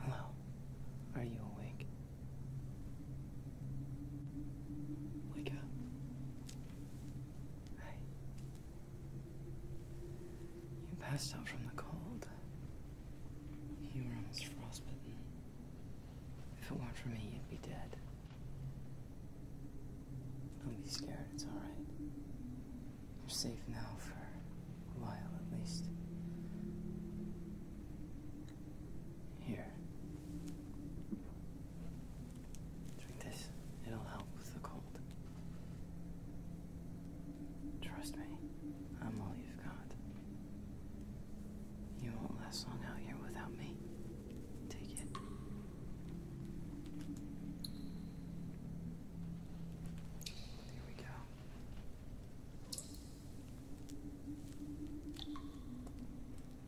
Hello. Are you awake? Wake up. Hi. You passed out from the cold. You were almost frostbitten. If it weren't for me, you'd be dead. Don't be scared, it's alright. You're safe now for a while at least. Here. Drink this. It'll help with the cold. Trust me, I'm all you've got. You won't last long out here without me. Take it. There we go.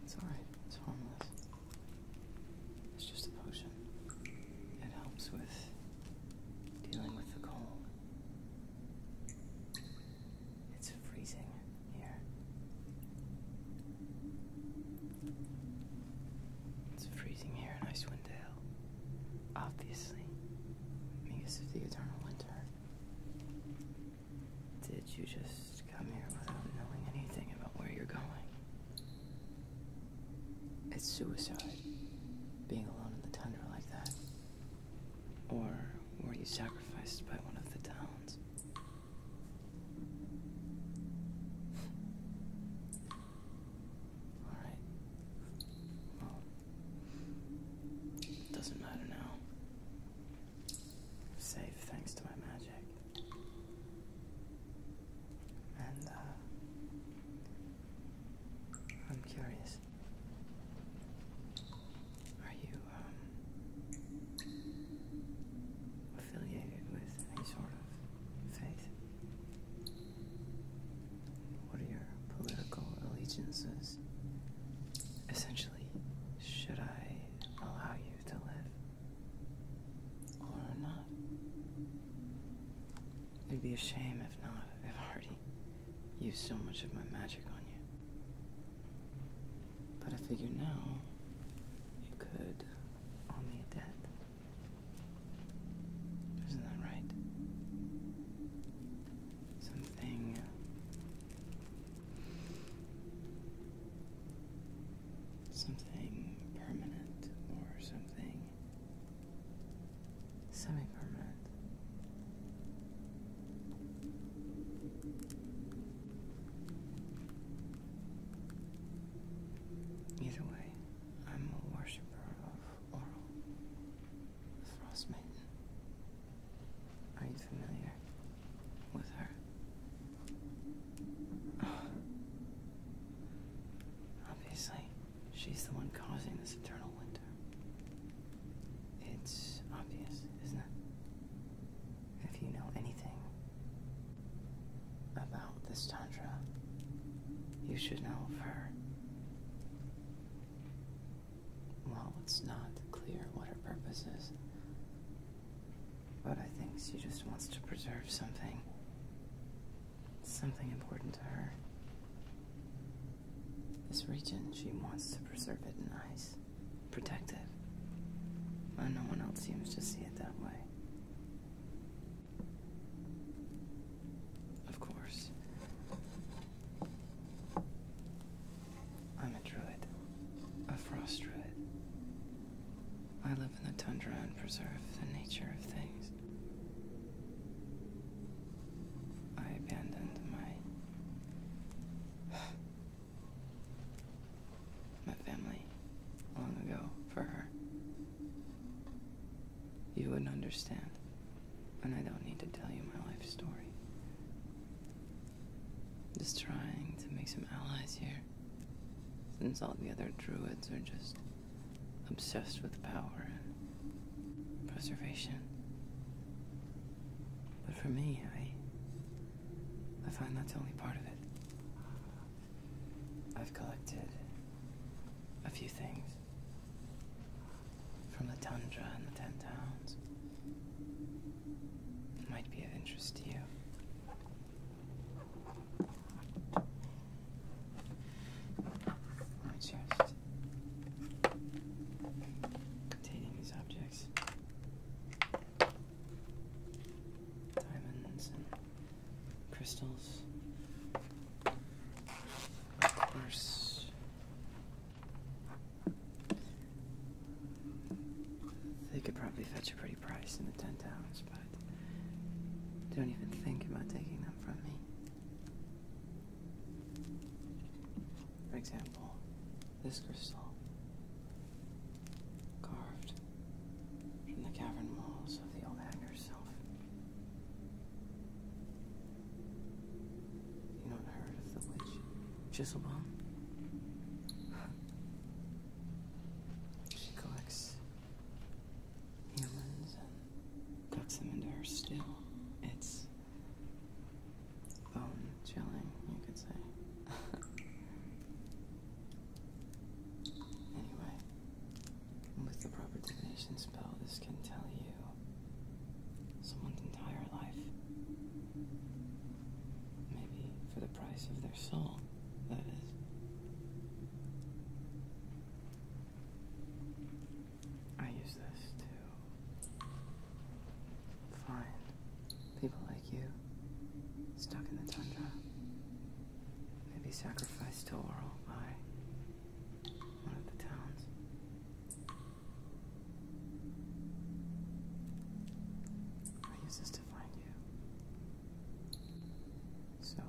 It's alright, it's harmless. It's just a potion. It helps with dealing with the cold. It's freezing here. It's freezing here, and I swear Swindale. Obviously. this is the Eternal Winter. Did you just come here without knowing anything about where you're going? It's suicide, being alone in the tundra like that. Or were you sacrificed by one of the towns? Alright. it doesn't matter now. Safe thanks to my magic. And, uh, I'm curious. Are you, um, affiliated with any sort of faith? What are your political allegiances? Essentially, should I allow you to live or not? It'd be a shame if not. I've already used so much of my magic on you. But I figure now you could owe me a debt. Isn't that right? Something. Uh, something permanent or something semi permanent. Either way, I'm a worshiper Laurel, the Frost Maiden. Are you familiar with her? Obviously, she's the one causing this eternal winter. It's obvious, isn't it? If you know anything about this Tantra, you should know of her. Well, it's not clear what her purpose is, but I think she just wants to preserve something, something important to her. This region, she wants to preserve it nice, protect it, no one else seems to see it that way. Of course. I'm a druid, a frost druid. I live in the tundra and preserve the nature of things. I abandoned my my family long ago for her. You wouldn't understand. And I don't need to tell you my life story. Just trying to make some allies here. Since all the other druids are just obsessed with power and preservation. But for me, I I find that's only part of it. I've collected a few things from the tundra and the ten towns. It might be of interest to you. I just taking these objects. Diamonds and crystals, bursts. They could probably fetch a pretty price in the 10 towns, but don't even think about taking them from me. For example, this crystal, carved from the cavern walls of the old hag herself. You do not hear of the witch Chiselbaum? She collects humans and cuts them into her still. It's bone chilling, you could say. Anyway, with the proper divination spell, this can tell you someone's entire life. Maybe for the price of their soul, that is. I use this to find people like you stuck in the tundra may be sacrificed to Oral by one of the towns. I use this to find you. So,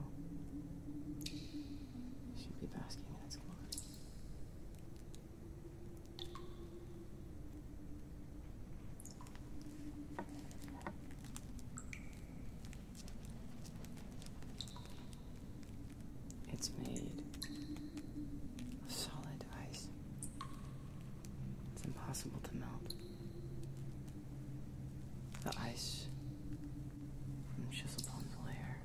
you should be basking in its glory. It's made of solid ice. It's impossible to melt. The ice from Chisel Chiselbone's lair.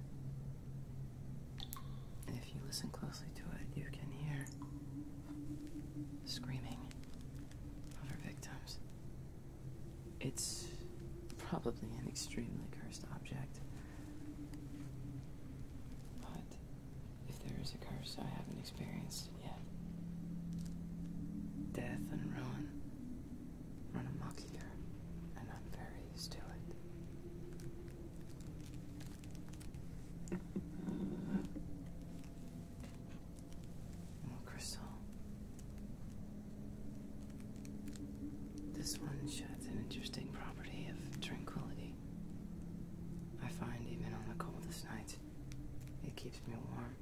And if you listen closely to it, you can hear screaming of her victims. It's probably an extremely cursed object. But if there is a curse I haven't experienced it yet, death and ruin run amok here, and I'm very used to it. Oh, crystal. This one sheds an interesting property of tranquility. I find even on the coldest nights, it keeps me warm.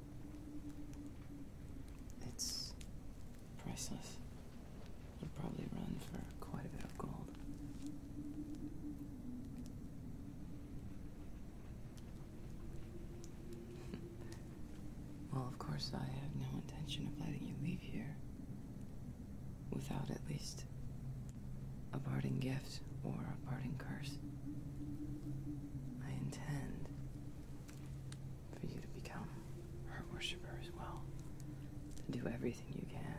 It's priceless. Would probably run for quite a bit of gold. well, of course, I have no intention of letting you leave here without at least a parting gift or a parting curse. I intend for you to become her worshiper as well, to do everything you can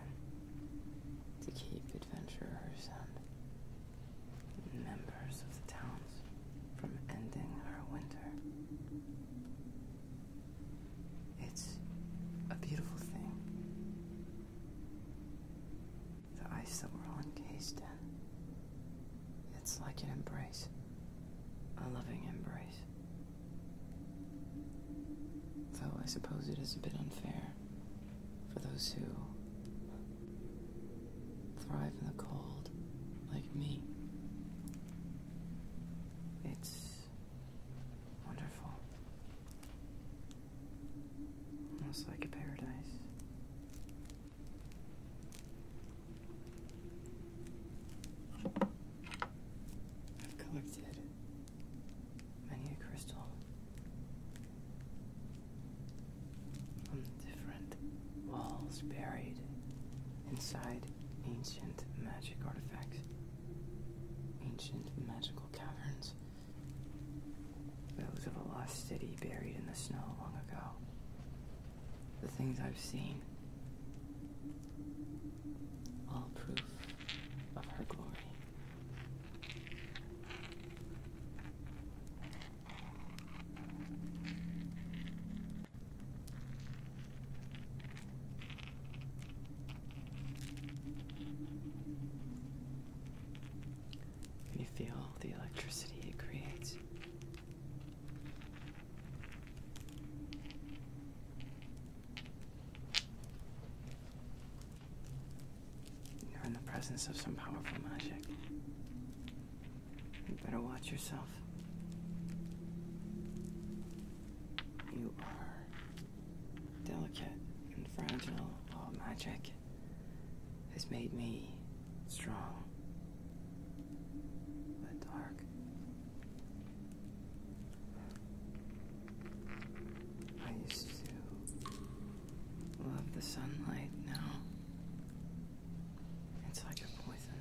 to keep adventurers members of the towns from ending our winter. It's a beautiful thing. The ice that we're all encased in. It's like an embrace, a loving embrace. Though I suppose it is a bit unfair for those who thrive in the cold like me. It's wonderful. Almost like a paradise. I've collected many a crystal on different walls buried inside ancient magic artifacts, ancient magical caverns, those of a lost city buried in the snow long ago. The things I've seen, all proof of her glory. Can you feel the electricity it creates? You're in the presence of some powerful magic. You better watch yourself. You are delicate and fragile. All magic has made me strong, but dark. I used to Love the sunlight now. It's like a poison.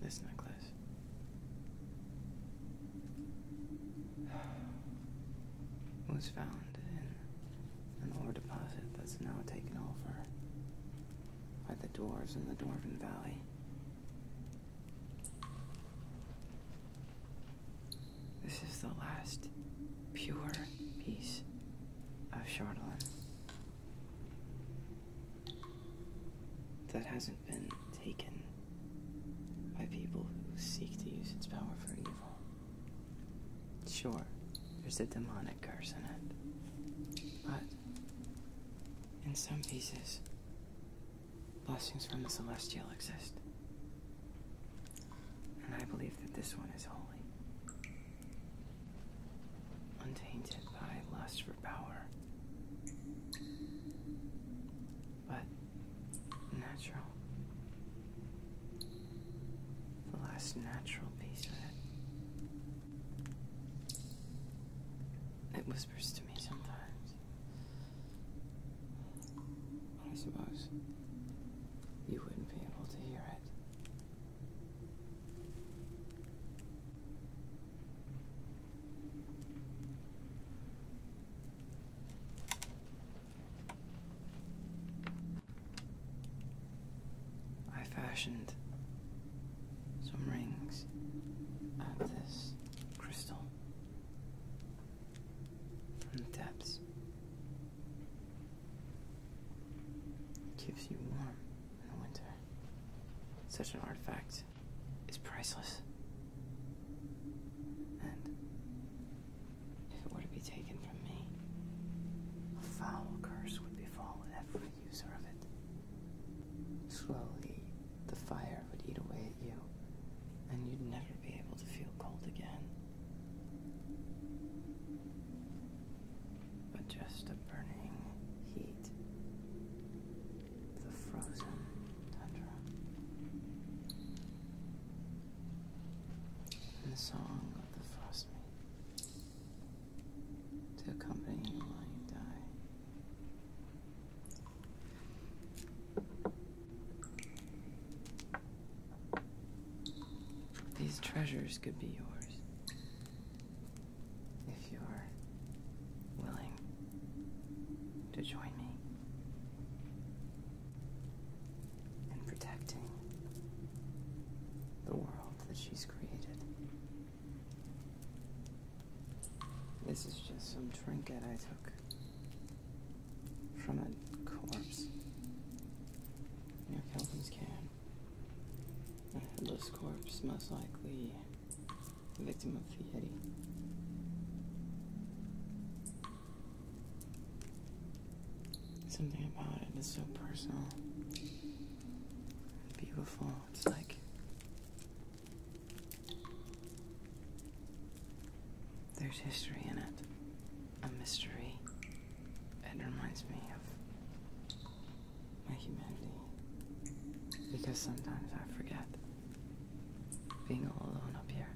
This necklace was found in an ore deposit that's now taken over by the dwarves in the Dwarven Valley. This is the last pure piece of Shardolin that hasn't been taken by people who seek to use its power for evil. Sure, there's a demonic curse in it, but in some pieces, blessings from the celestial exist. And I believe that this one is holy, untainted by lust for power but natural. The last natural piece of it. It whispers to me sometimes. I suppose you wouldn't be able to hear it. I fashioned some rings out of this crystal from the depths. It gives you warmth in the winter. Such an artifact is priceless. And if it were to be taken from me, a foul curse would befall every user of it. Slowly, the fire would eat away at you, and you'd never be able to feel cold again. But just a burning heat the frozen tundra. And the song of the frostmaid to accompany you while you die. These treasures could be yours if you're willing to join me in protecting the world that she's created. This is just some trinket I took from a corpse near Kelvin's Cairn. A headless corpse, most likely the لازم فيها ري Something about it is so personal. Beautiful. It's like there's history in it, a mystery. It reminds me of my humanity because sometimes I forget being all alone up here.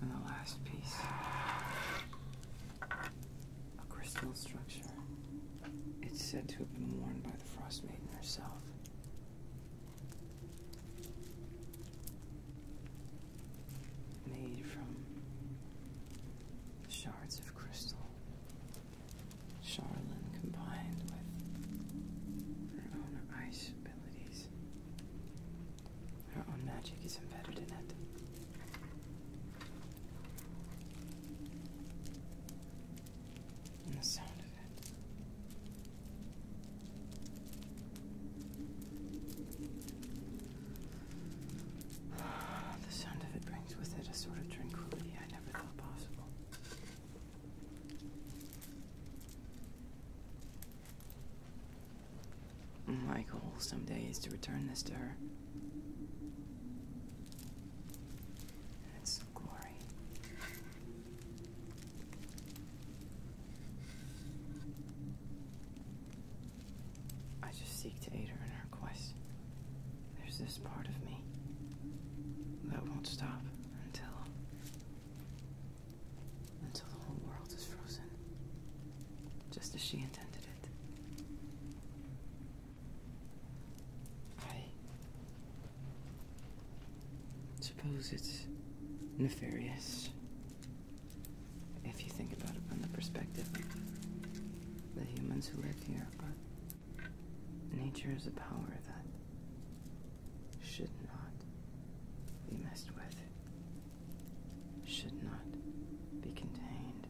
And the last piece a crystal structure. It's said to have been worn by the Frost Maiden herself. Made from shards of crystal. Charlin combined with her own ice abilities. Her own magic is embedded in it. And the sound of it. The sound of it brings with it a sort of tranquility I never thought possible. My goal someday is to return this to her. It's glory. I just seek to aid her in her quest. There's this part of me that won't stop until. until the whole world is frozen. Just as she intended it. I. suppose it's nefarious if you think about it from the perspective of the humans who live here, but nature is a power that should not be messed with, should not be contained.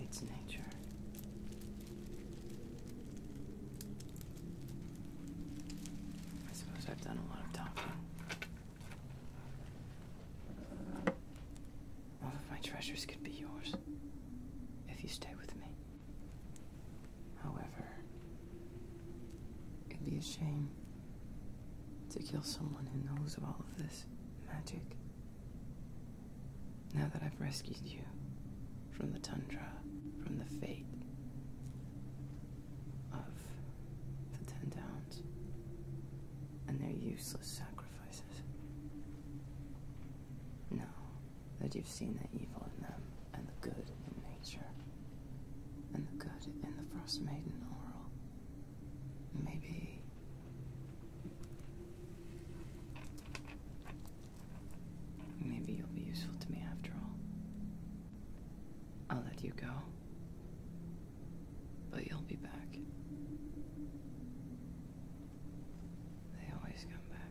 It's nature. I suppose I've done a lot of talking. All of my treasures could be yours if you stay with me. However, it'd be a shame to kill someone who knows of all of this magic. Now that I've rescued you from the tundra, from the fate of the Ten Down hounds and their useless sacrifices. Now that you've seen the evil in them and the good in nature, and the good in the Frost Maiden Oral, maybe. Maybe you'll be useful to me after all. I'll let you go. But you'll be back. They always come back.